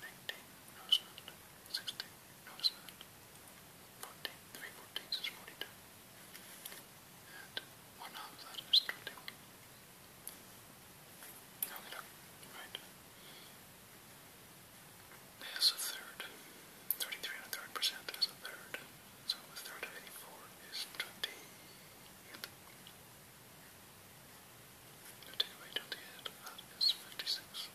19, Rosemount, 16, Rosemount, 14, 3 1 half that is 21. Now we look, right? There's a third, 33 and a third percent is a third, so a third of 84 is 20. Take away 56.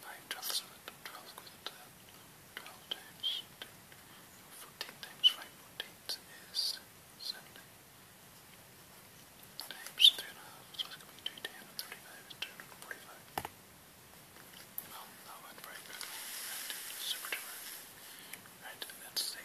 Nine twelfths of it, twelve twelve times two, fourteen times five is seventy. Times three and a half, so it's coming to ten two hundred and forty-five. Well, that went very good. Right, super Right, let's see.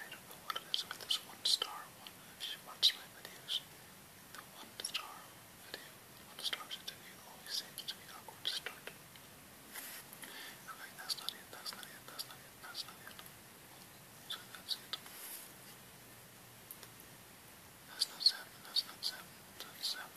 I don't know what it is with this one star one. If you watch my videos, the one star video, one star interview always seems to be awkward to start. Okay, that's not it, that's not it, that's not it, that's not it. So that's it. That's not seven, that's not seven, that's seven.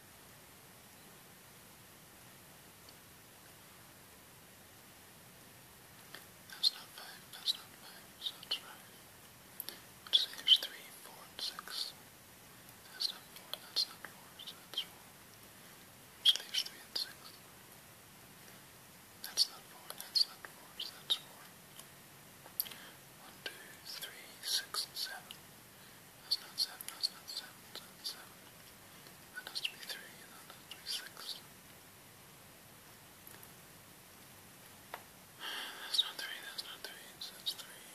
That's not five, that's not five, so that's right. Which saves three, four, and six. That's not four, that's not four, so that's four. Which leaves three and six. That's not four, that's not four, so that's four. One, two, three, six, and seven. That's not seven, that's not seven, that's not seven. That has to be three, and that has to be six. That's not three, that's not three, that's three.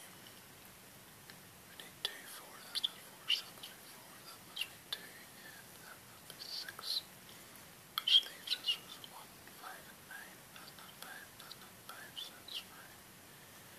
We need two, four, that's not four, so that must be four, that must be two, and that must be six. Which leaves us with one, five, and nine. That's not five, that's not five, so that's five.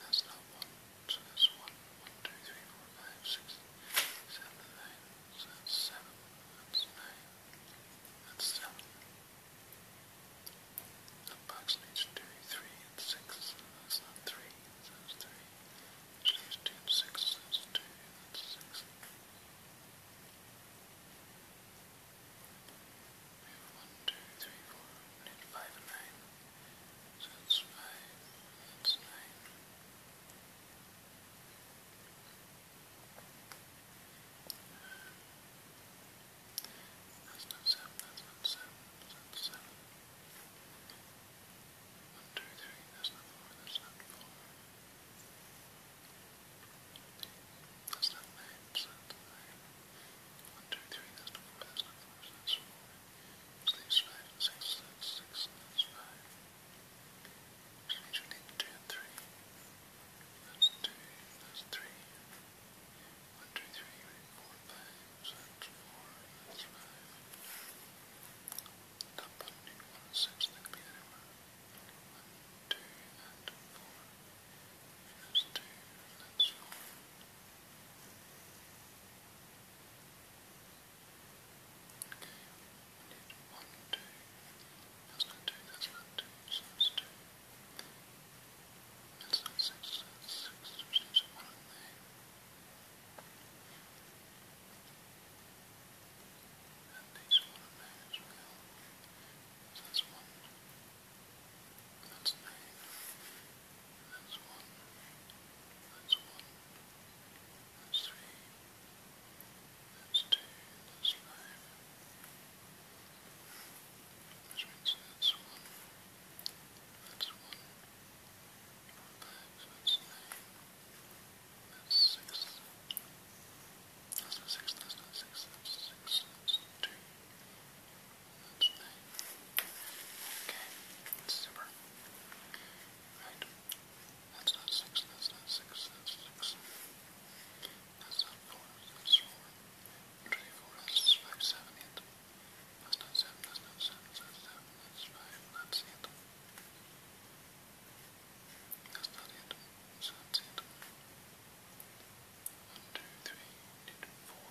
That's not one, so that's one, one, two, three, four, five, six, seven, nine, so nine, that's seven. The box needs two, three, and six, that's not three, that's three. Which two six, that's two, that's six. We have one, two, three, four, and nine. That's fine. That's fine. That's seven. That's seven. That's seven. One, two, three. That's four. That's four. That's nine. That's nine. One, two, three. That's four. That's four. Sleeps five and six, that's six and that's five. Which means we need two and three. That's two, that's three. One, two, three, we need four and five, so that's four and that's five. Top button need one and six, they can be anywhere. One, two, and four. That's two, that's four. That's Okay, one, two. That's not two, that's not two, so that's two. That's not six, that's six, which leaves one in there. And these one in there as well. So that's one. That's nine minus 1, minus 1, minus 3, minus 2, minus 5, which means that's 1, that's 1, 4 bags, that's 9, that's 6, that's 6, that's 6, that's 6, that's 2, today. Okay, super. Right, that's not six, that's not six, that's six. That's not four, that's four. Twenty-four, that's five, seven, eight. That's not seven, that's not seven, that's seven, that's five, that's eight. That's not it. So that's it. One, two, three, four,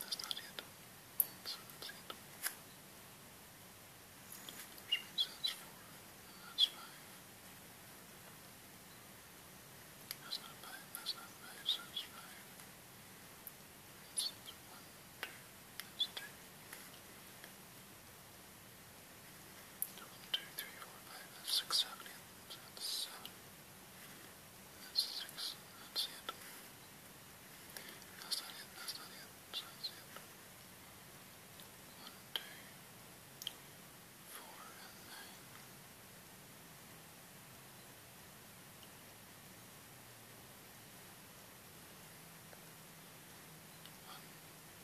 That's not it. That's not it. that's four. That's five. That's not five. That's not five. That's one, That's two. One, two, three, four, five six. That's it. That's not it. That's not it. So that's it. One, two, four, and nine. One,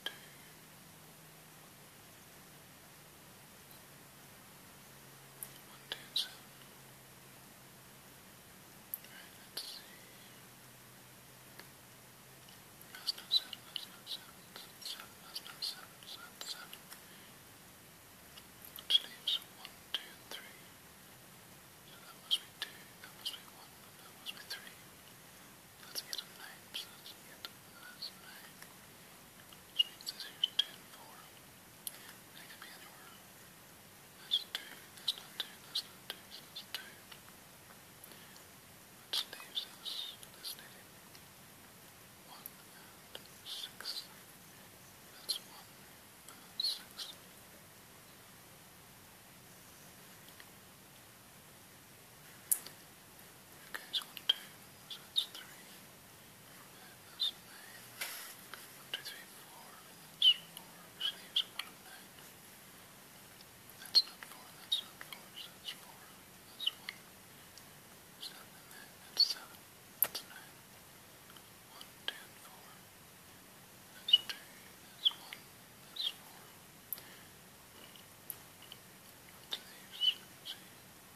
two, four, one, two, seven. Alright, let's see. That's not seven, that's not seven, that's seven, that's not seven, that's not seven. Which leaves one, two, three. So that must be two, that must be one, that must be three. That's yet a nine, so that's yet a nine. Which means this here's 2 and 4. That could be anywhere. That's 2, that's not 2, that's not 2, so that's 2. Which leaves us this needing 1 and 6. That's 1 and 6. Okay, so 1, 2, so that's 3. That's nine. One, two, three, four. That's four. Which leaves a one of nine. That's not four. That's not four. So that's four. That's one. Seven and nine. That's seven. That's nine. One, two, and four. That's two. That's one. That's four. What leaves? Let's see. One, two, three, four,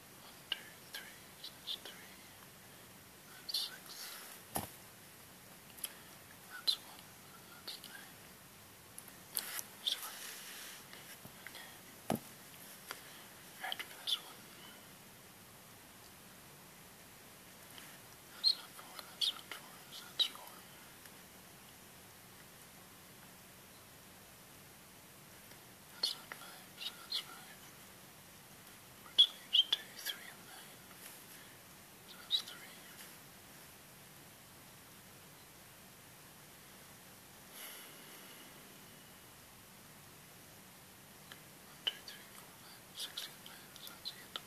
One, two, three, that's three, that's six, that's one, that's nine, seven, okay, right for this one, that's not four, that's not four, that's four. That's not 5, so that's 5. Which leaves 2, 3, and 9. that's 3. One, two, three, four, nine, six and nine, so that's eight.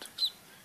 Six and nine.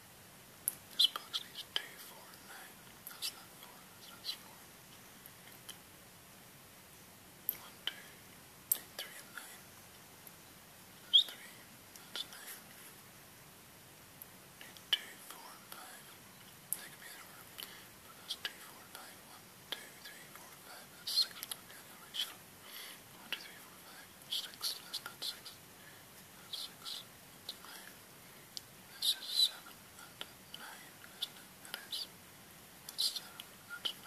This box needs two, four, and nine. That's not four, that's four. One, two, three, That's three, that's nine. Need two, could be the order. that's two, four, That's six. Look at it, like shut up. That's not six. That's six. That's nine. This is seven and nine, isn't it? It is 7 and nine. see. Radio, stereo,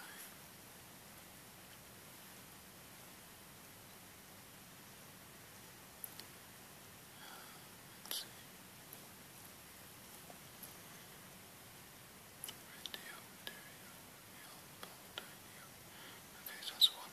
yellow, Okay, that's one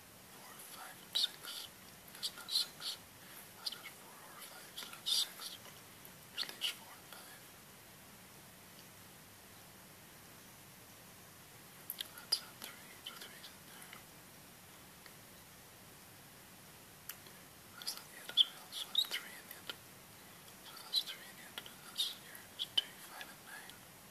four, five, and six. That's not six. That's not four or five. It's not six. Which leaves four and five. That's not three. So three's in there. That's not the end as well. So that's three in the end. So that's three in the end. And that's here. It's two, five, and nine.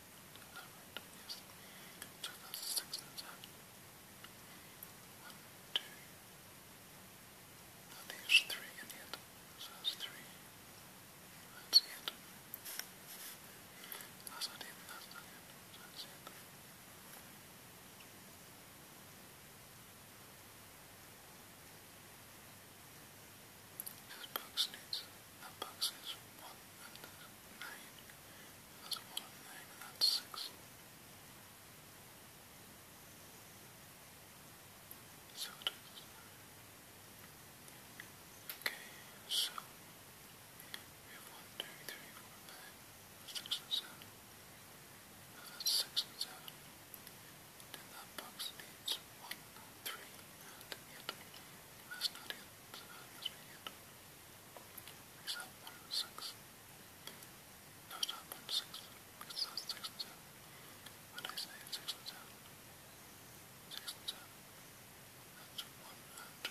eleven yes, One, two. I think three in it. So three. That's it. That's not it. not it. This box needs that box is 1 and 9. That's 1 and 9 that's 6. So it is. Okay, so we and 7. Now that's 6 and 7. Then that box needs 1, 3 and 8. That's not 8 this weekend. Makes that 106. No, it's not 106. 6 and 2. 6 and 2. 6 and 2. That's 1 and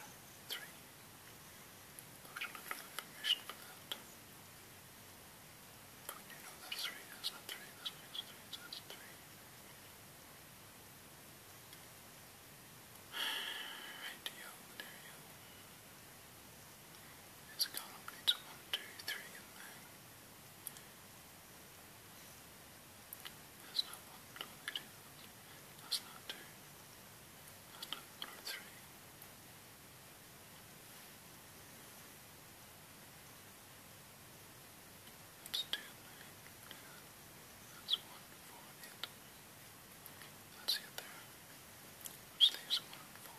3. I don't have enough information for that. But you 3 is 3, this 3 and 3. Radio, you There's a column needs one, two, three in there. That's not one, two, three. That's two. That's three. That's two. That's one, four, eight. Let's there. Which leaves one four.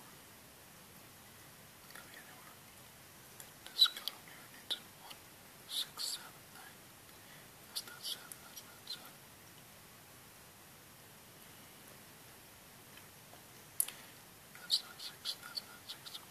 Come here, one. This column here needs one, six, seven, nine. That's not seven, that's not seven. That's not six, that's not six, only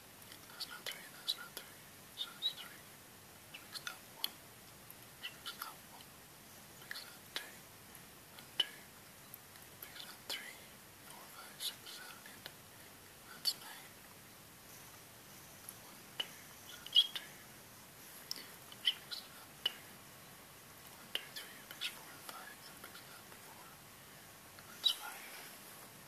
That's not three, that's not three. So it's three. Which makes that one. Which makes that one. Makes that two. And two. Makes that three. Four, five, six, seven, eight. That's nine. One, two, that's two. Which makes that two. One, two, three, makes four and five. That makes that four. That's five.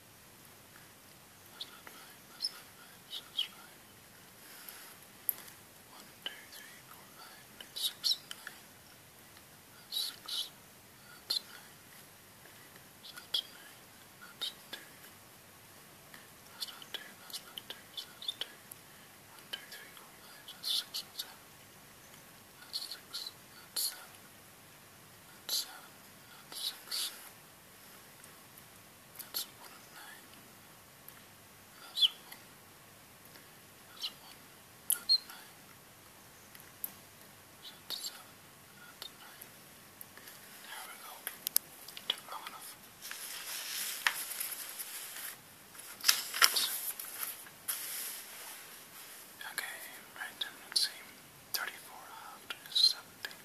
That's not five, that's not five, so that's five. One, two, three, four, five, six, nine. That's six, that's nine. So that's nine, that's two. That's not two, that's not two, so that's two. One, two, three, four, five, so that's six and seven. That's six, that's seven. That's seven, that's six. That's one of nine. That's one. That's one. That's nine. That's seven. That's nine. There we go. Okay, right, let's see. 34 halved is 17.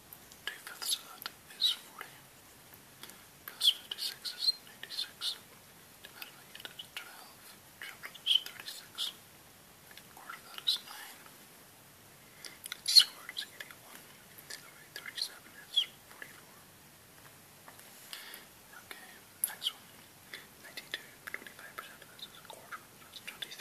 Two fifths of that is 40. Plus 56 is ninety six. Divided by 8 is 12. is 36. Quarter of that is 9. squared is 81. Away 37 is 44. Okay, next one. 92. percent of a quarter. That's 23.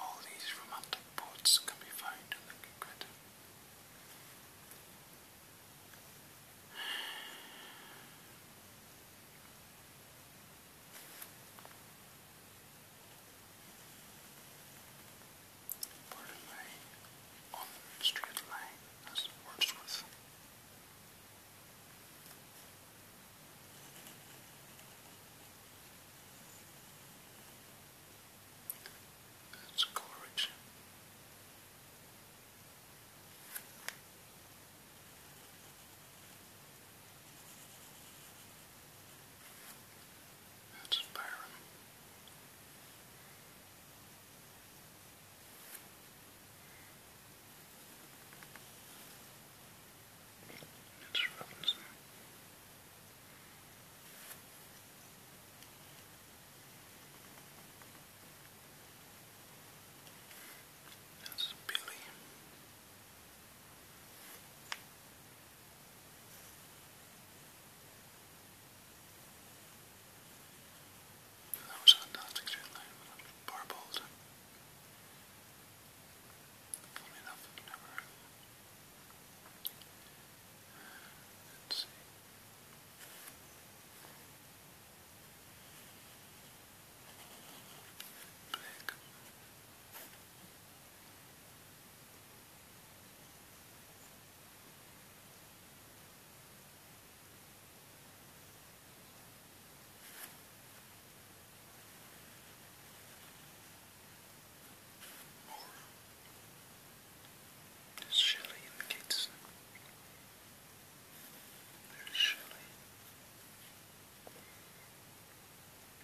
All these romantic poets can be found in the Kikwit. Part of my on line as Wordsworth. That's Coleridge. That's Byron. It's Robinson. That's Billy. That was a fantastic straight line Funny enough, i never heard Let's see. Black. Or there's Shelley and Kitson. There's Shelley.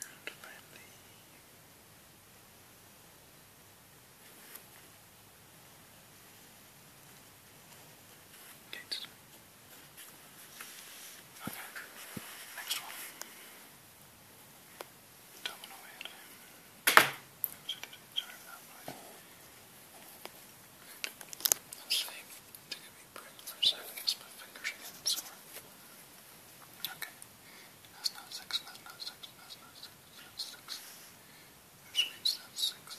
And finally, Kitson. Okay, next one. Domino Head. Sorry for that, but That's not six, that's not six, that's not six, that's six. Which means that's six.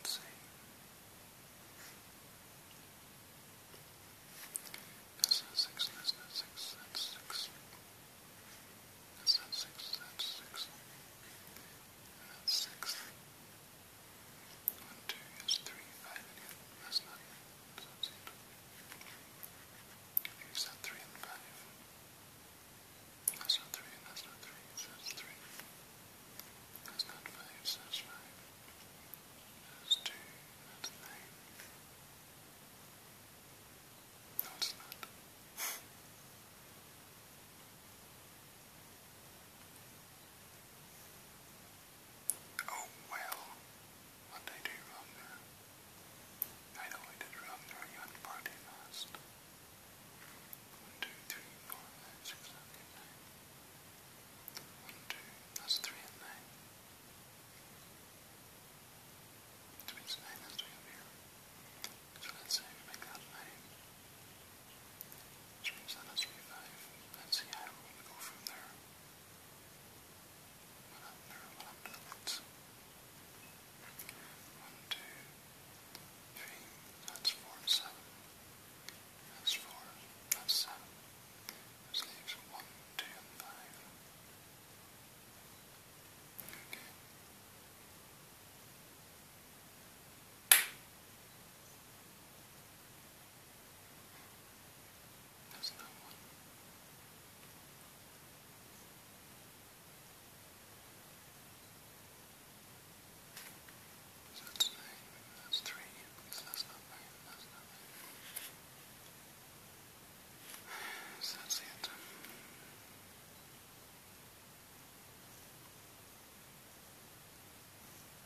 Let's see. That's six, that's six, that's six. That's six, that's six. And that's six. One, two, that's three, five again. That's nothing. So you said three and five. That's not three, that's not three, that's three. That's not five, that's five. That's two, that's nine. No, it's not. Oh well, what I do wrong there? I know I did wrong there, you had party last. One, two, three, four, five, six, seven, eight, nine. One, two, that's three and nine. Which means nine has three up here. So let's say we make that nine. Which means that has three five. Let's see how we go from there parallel pellets. One, two, three, that's four and seven. That's four, that's seven. This leaves one, two, and five. That's that one. that's nine, that's three, that's not nine, that's not nine. So that's it.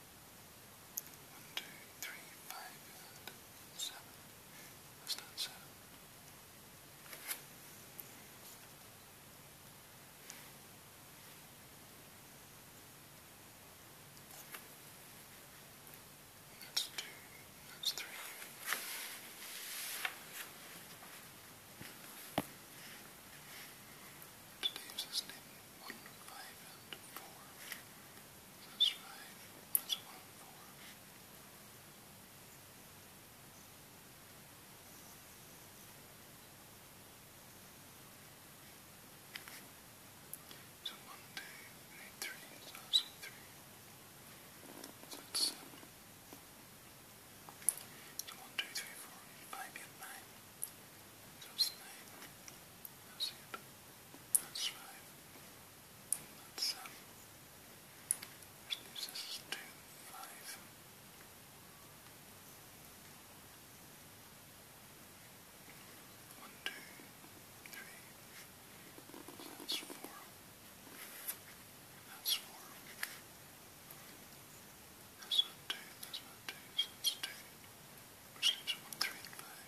One, two, three, five, seven. That's not seven. That's two, that's three. Today's is named one, five, and four. That's right. That's what i So one day, seven. So one, two, three, four, five, eight, nine. So nine. That's it. That's five. Let's, um, let's lose this to five. One, two, three. That's four. That's four. That's not two. That's not two. That's two. Which leaves one, three, and five.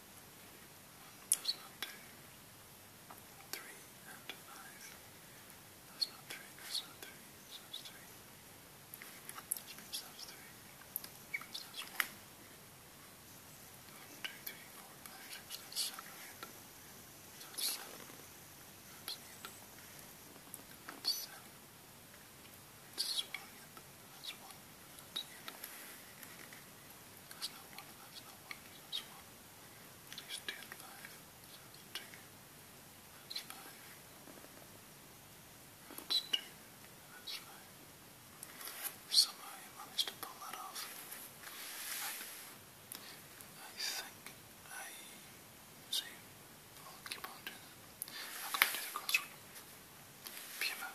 That's not two. Three and five. That's not three. That's not three. That's three. Which means that's three. Which means that's one. One, two, three, four, five, six. That's seven. Eight. That's seven. That's eight. That's seven. This is one. That's one. That's eight. That's that's one, that's one, that's one. At least Somehow you managed to pull that off. I, I think I see. i keep on doing that. i do the crossword. Pima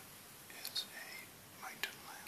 is a mountain lion.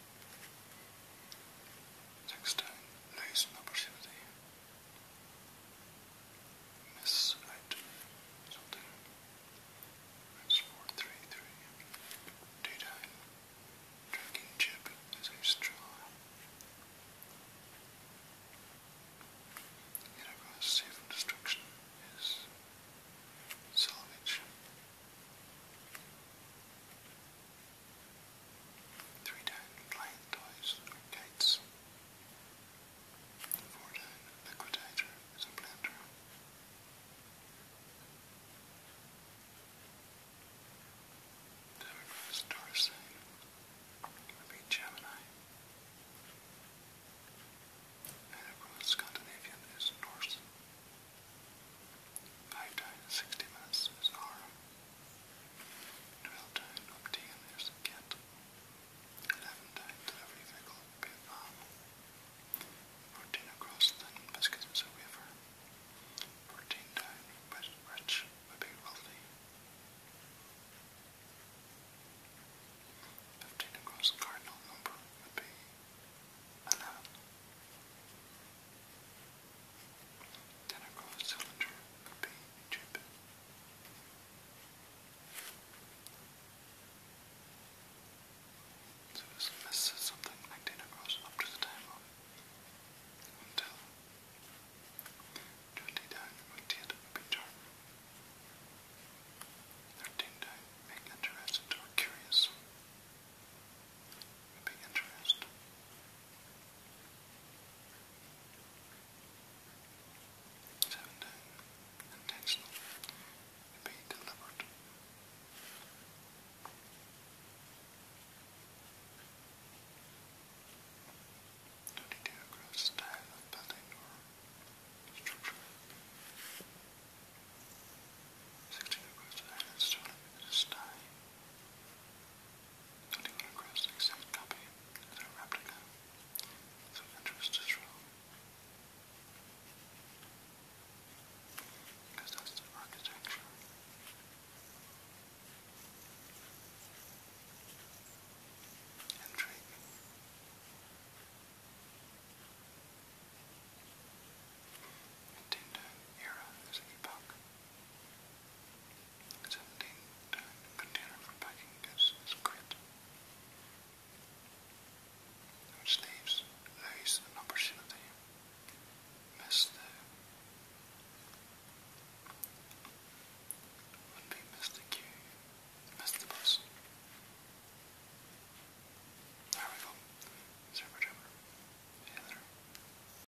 Next time, lose an opportunity. Miss right something. That's four three three. Daytime. Drinking chip is a straw. Yet across safe and destruction is salvage. Three down, playing toys gates. Four down, liquidator is a blender. Seven was Dorisane. It'll be Gemini. And everyone Scandinavian is Norse. Five down, sixty minutes is Aram. 12 obtain there's a cat. 11 times every vehicle will be a palm. 14 across thin biscuits is a wafer. 14 down rich would be wealthy. 15 across cardinal number would be 11. Then cylinder would be a So this is something identical up to the table until twenty would date a Thirteen down make interested or curious. Would be Seventeen, intentional, be deliberate. Twenty-two, style of or structure. Sixteen, gross style. Anyone across exact copy is replica, so interest is wrong. Because that's the architecture. Intrigue. Intended era epoch. 17 ton container for packing goods is great. Which leaves opportunity. Miss would be miss the queue. Miss There we go. Server driver. you